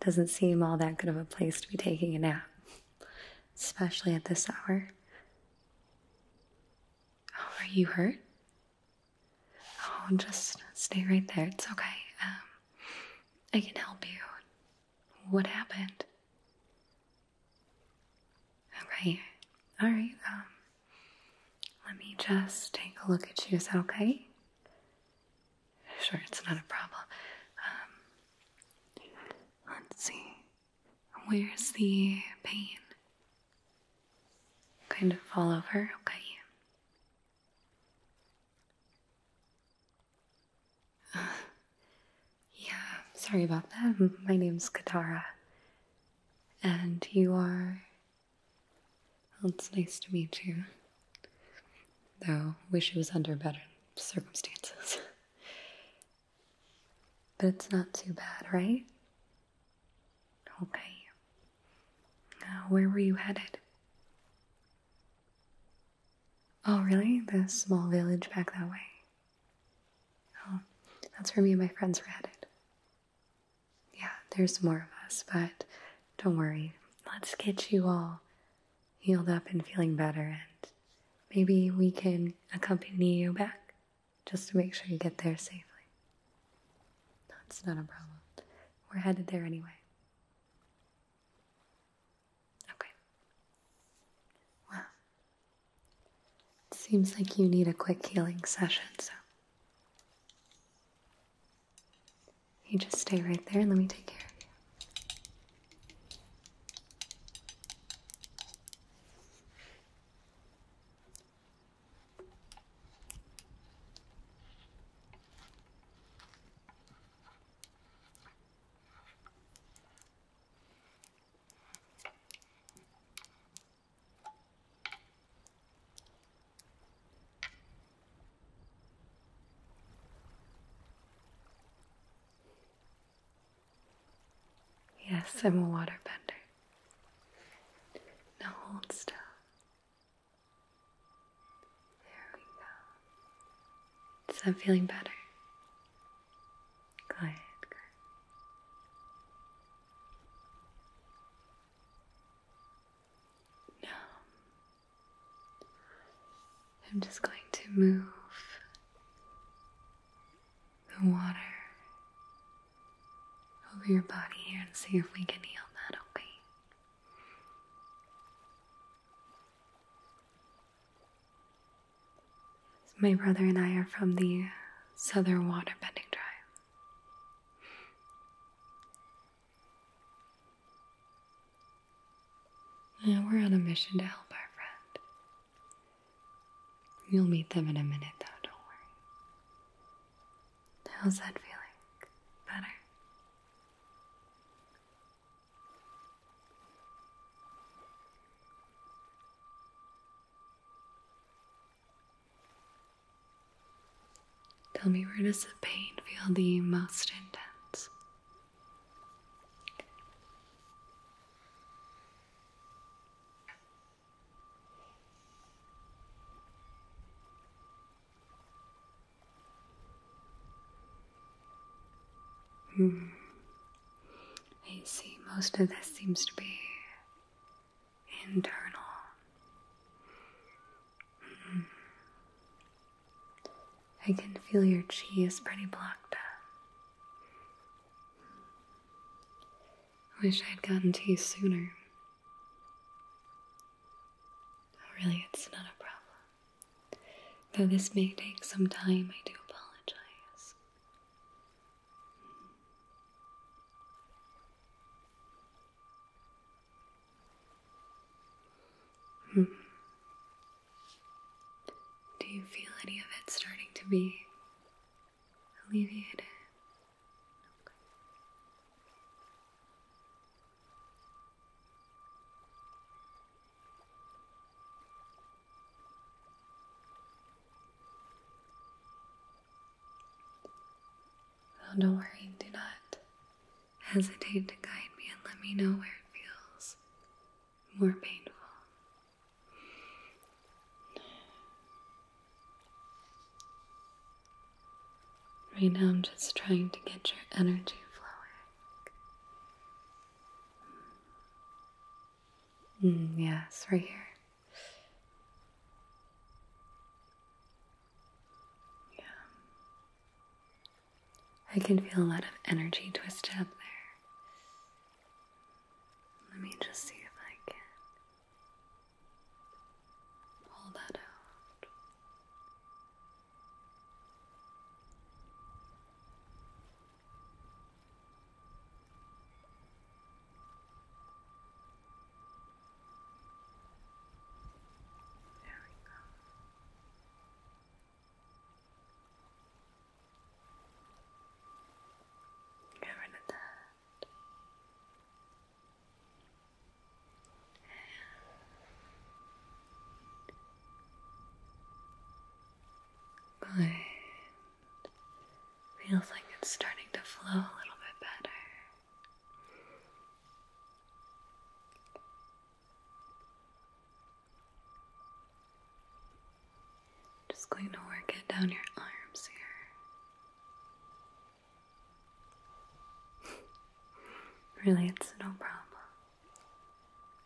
Doesn't seem all that good of a place to be taking a nap, especially at this hour. Oh, are you hurt? Oh, just stay right there. It's okay. Um, I can help you. What happened? Okay. All right. Um, let me just take a look at you. Is that okay? Sure, it's not a problem. Um, let's see. Where's the pain? Kind of fall over? Okay. yeah, sorry about that. My name's Katara. And you are. Well, it's nice to meet you. Though, wish it was under better circumstances. but it's not too bad, right? Okay. where were you headed? Oh, really? The small village back that way? Oh, that's where me and my friends were headed. Yeah, there's more of us, but don't worry. Let's get you all healed up and feeling better, and maybe we can accompany you back just to make sure you get there safely. That's not a problem. We're headed there anyway. Okay. Well, it seems like you need a quick healing session, so you just stay right there and let me take care of you. Yes, I'm a waterbender. Now hold still. There we go. Is that feeling better? Good, now, um, I'm just going to move the water over your body here and see if we can heal that, okay? my brother and I are from the Southern Water Bending Tribe. And we're on a mission to help our friend. You'll meet them in a minute, though, don't worry. How's that feeling? Better? Tell me where does the pain feel the most intense? Hmm. I see most of this seems to be internal. Hmm. I can feel your chi is pretty blocked up. Wish I'd gotten to you sooner. really, it's not a problem. Though this may take some time, I do apologize. Hmm. Do you feel any of it starting to be alleviated? Okay. Oh, don't worry, do not hesitate to guide me and let me know where it feels more painful. Right now, I'm just trying to get your energy flowing. Mm, yes, right here. Yeah. I can feel a lot of energy twisted up there. Let me just see if I can pull that out. There we go. Get rid of that. Good. Feels like it's starting to flow a little bit better. Just going to work it down your arms here. really, it's no problem.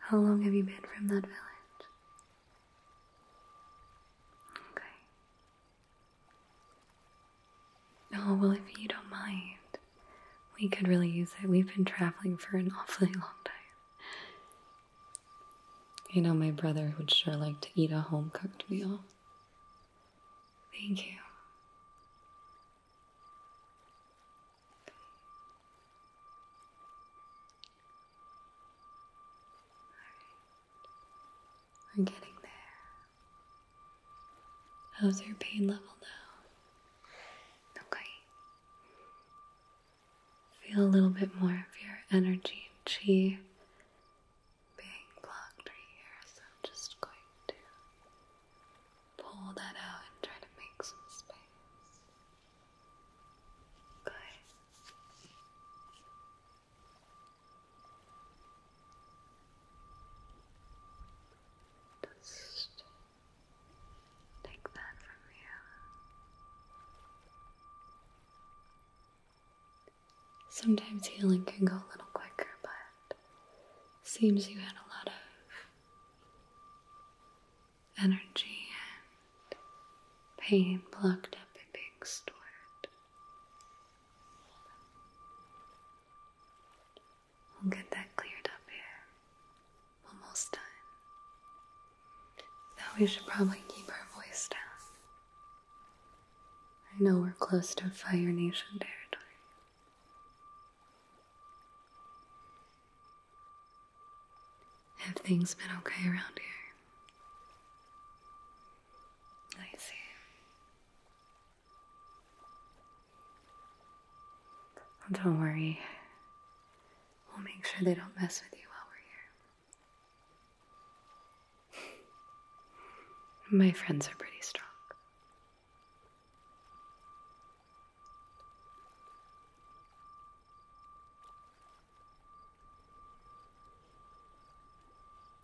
How long have you been from that village? Okay. Oh, well, if you don't mind, we could really use it. We've been traveling for an awfully long time. You know, my brother would sure like to eat a home cooked meal. Thank you. We're getting there. How's your pain level now? Okay. Feel a little bit more of your energy and chi being blocked right here, so I'm just going to pull that out and try to make some space. Good. Just take that from you. Sometimes healing can go a little quicker, but seems you had a lot of energy and pain blocked up and being stored. We'll get that cleared up here. Almost done. Now we should probably keep our voice down. I know we're close to Fire Nation territory. Have things been okay around here? I see don't worry. We'll make sure they don't mess with you while we're here. My friends are pretty strong.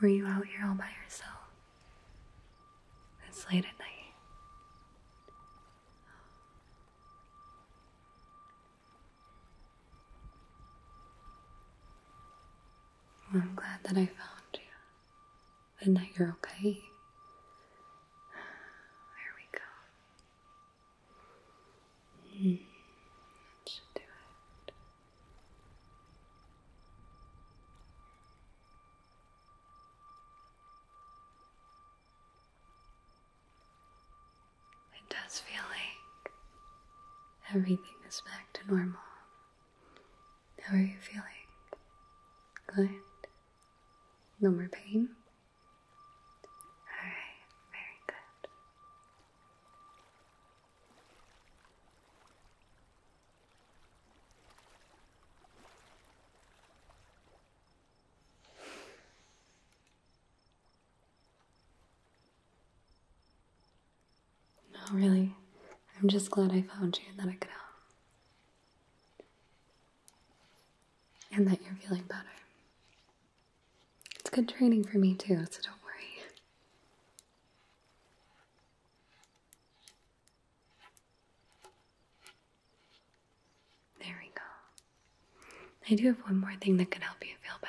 Were you out here all by yourself? It's late at night. I'm glad that I found you and that you're okay. There we go. Mm. That should do it. It does feel like everything is back to normal. How are you feeling? Good. No more pain? Alright, very good. No, really, I'm just glad I found you and that I could help and that you're feeling better. It's good training for me too, so don't worry. There we go. I do have one more thing that could help you feel better.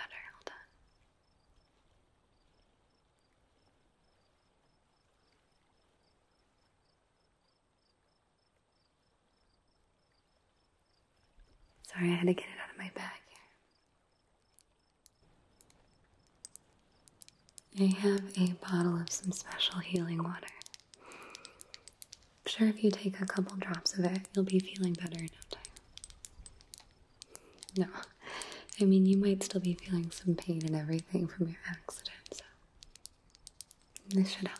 Sorry, I had to get it out of my bag I have a bottle of some special healing water. I'm sure if you take a couple drops of it, you'll be feeling better in no time. No, I mean, you might still be feeling some pain and everything from your accident, so this should help.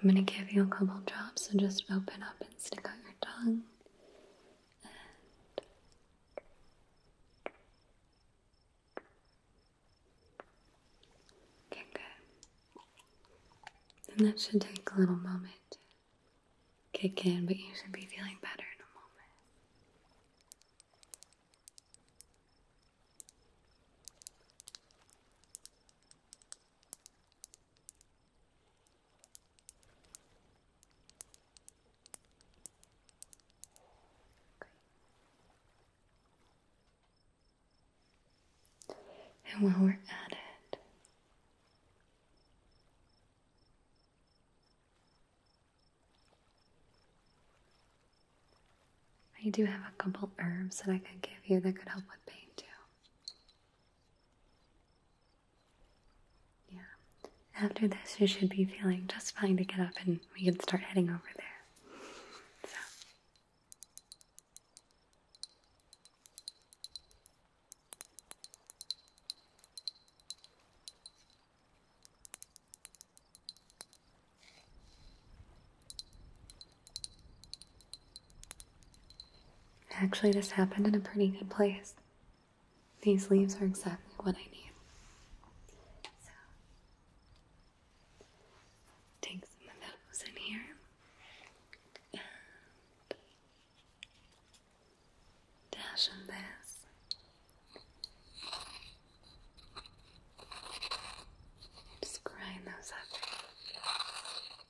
I'm going to give you a couple drops, so just open up and stick out your tongue. And Okay, good. And that should take a little moment to kick in, but you should be feeling better in a moment. And while we're at it, I do have a couple herbs that I could give you that could help with pain too. Yeah. After this, you should be feeling just fine to get up and we can start heading over there. So. Actually, this happened in a pretty good place. These leaves are exactly what I need. take some of those in here. And dash in this. Just grind those up.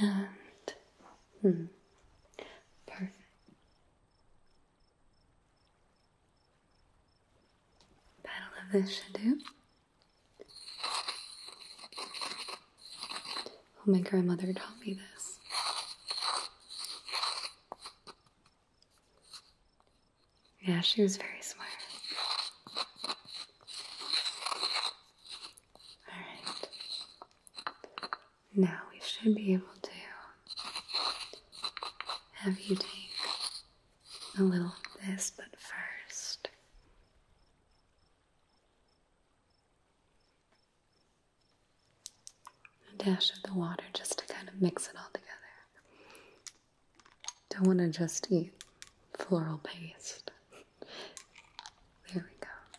And hmm, perfect. Battle of the Shadow. Oh, my grandmother taught me this. Yeah, she was very smart. Alright. Now we should be able to have you take a little of this, but first. A dash of the water just to kind of mix it all together. Don't want to just eat floral paste. There we go.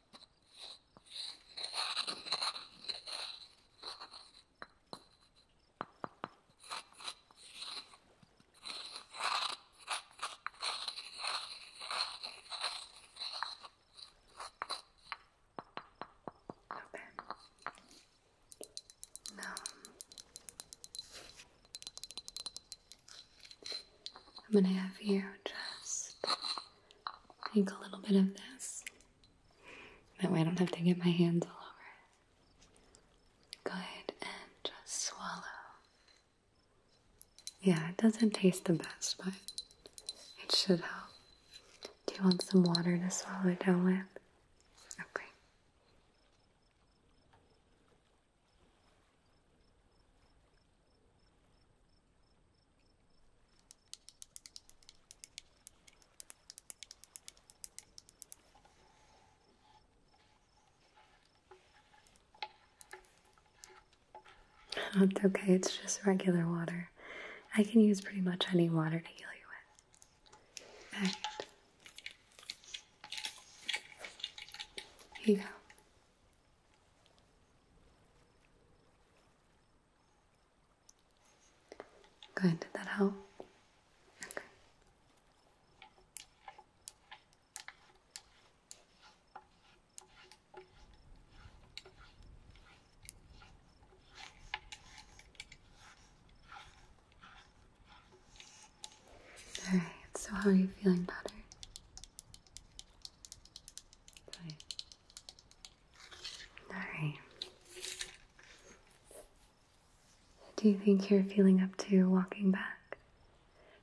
Okay. Now I'm gonna have you just take a little bit of this. That way I don't have to get my hands all over it. Go and just swallow. Yeah, it doesn't taste the best, but it should help. Do you want some water to swallow it down with? Okay. Oh, it's okay, it's just regular water. I can use pretty much any water to heal you with. Here you go. Good, did that help? Okay. so how are you feeling better? Okay. All right. Do you think you're feeling up to walking back?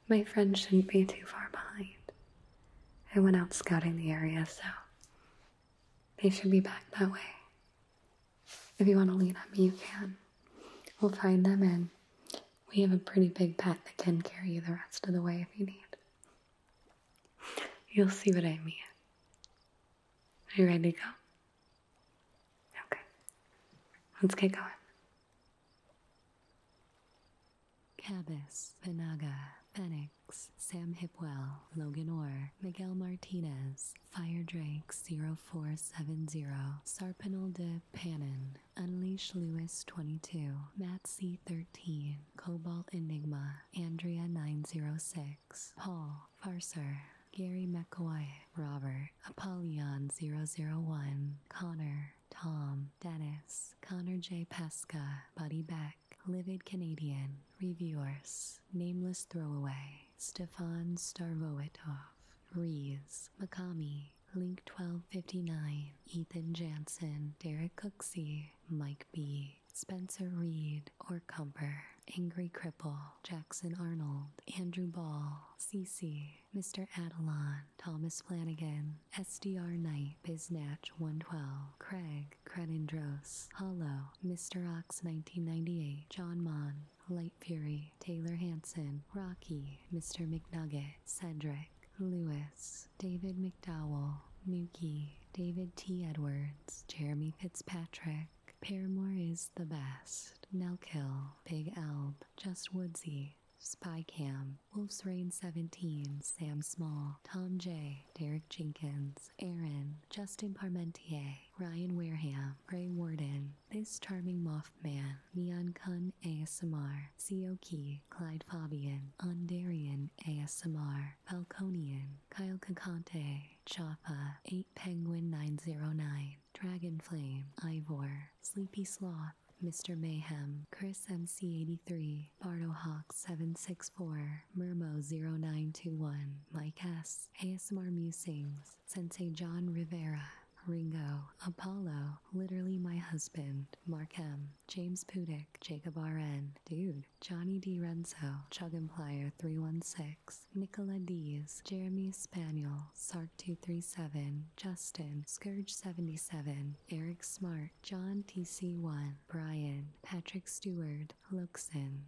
My friends shouldn't be too far behind. I went out scouting the area, so they should be back that way. If you want to lean on me, you can. We'll find them, and we have a pretty big pet that can carry you the rest of the way if you need. You'll see what I mean. Are you ready to go? Okay. Let's get going. Cabas, Panaga, Fenix, Sam Hipwell, Logan Orr, Miguel Martinez, Fire Drake 0470, Sarpinal de Panin, Unleash Lewis 22, Matt C 13, Cobalt Enigma, Andrea 906, Paul, Farser, Gary McCoy, Robert, Apollyon 001, Connor, Tom, Dennis, Connor J. Pesca, Buddy Beck, Livid Canadian, Reviewers, Nameless Throwaway, Stefan Starvoetov, Rees, Makami, Link 1259, Ethan Jansen, Derek Cooksey, Mike B. Spencer Reed, or Cumper, Angry Cripple, Jackson Arnold, Andrew Ball, CC, Mr. Adelon, Thomas Flanagan, SDR Knight, Biznatch 112, Craig, Crenindros, Hollow, Mr. Ox 1998, John Mon, Light Fury, Taylor Hanson, Rocky, Mr. McNugget, Cedric, Lewis, David McDowell, Mookie, David T. Edwards, Jeremy Fitzpatrick, Paramore is the best, Nelkill, Big Elb, Just Woodsy, Spy Cam, Wolf's Reign 17, Sam Small, Tom J, Derek Jenkins, Aaron, Justin Parmentier, Ryan Weirham, Ray Warden, This Charming Mothman, Neon Kun ASMR, Sioki, Clyde Fabian, Ondarian ASMR, Falconian, Kyle Kakante, Chapa, 8 Penguin 909, Dragon Flame, Ivor, Sleepy Sloth, Mr. Mayhem, Chris MC83, Hawks 764 Murmo0921, Mike S, ASMR Musings, Sensei John Rivera, Ringo, Apollo, Literally My Husband, Mark M, James Pudick, Jacob R.N., Dude, Johnny D. Renzo, Chug Implier 316, Nicola Dees, Jeremy Spaniel, Sark237, Justin, Scourge77, Eric Smart, John TC1, Brian, Patrick Stewart, Luxon.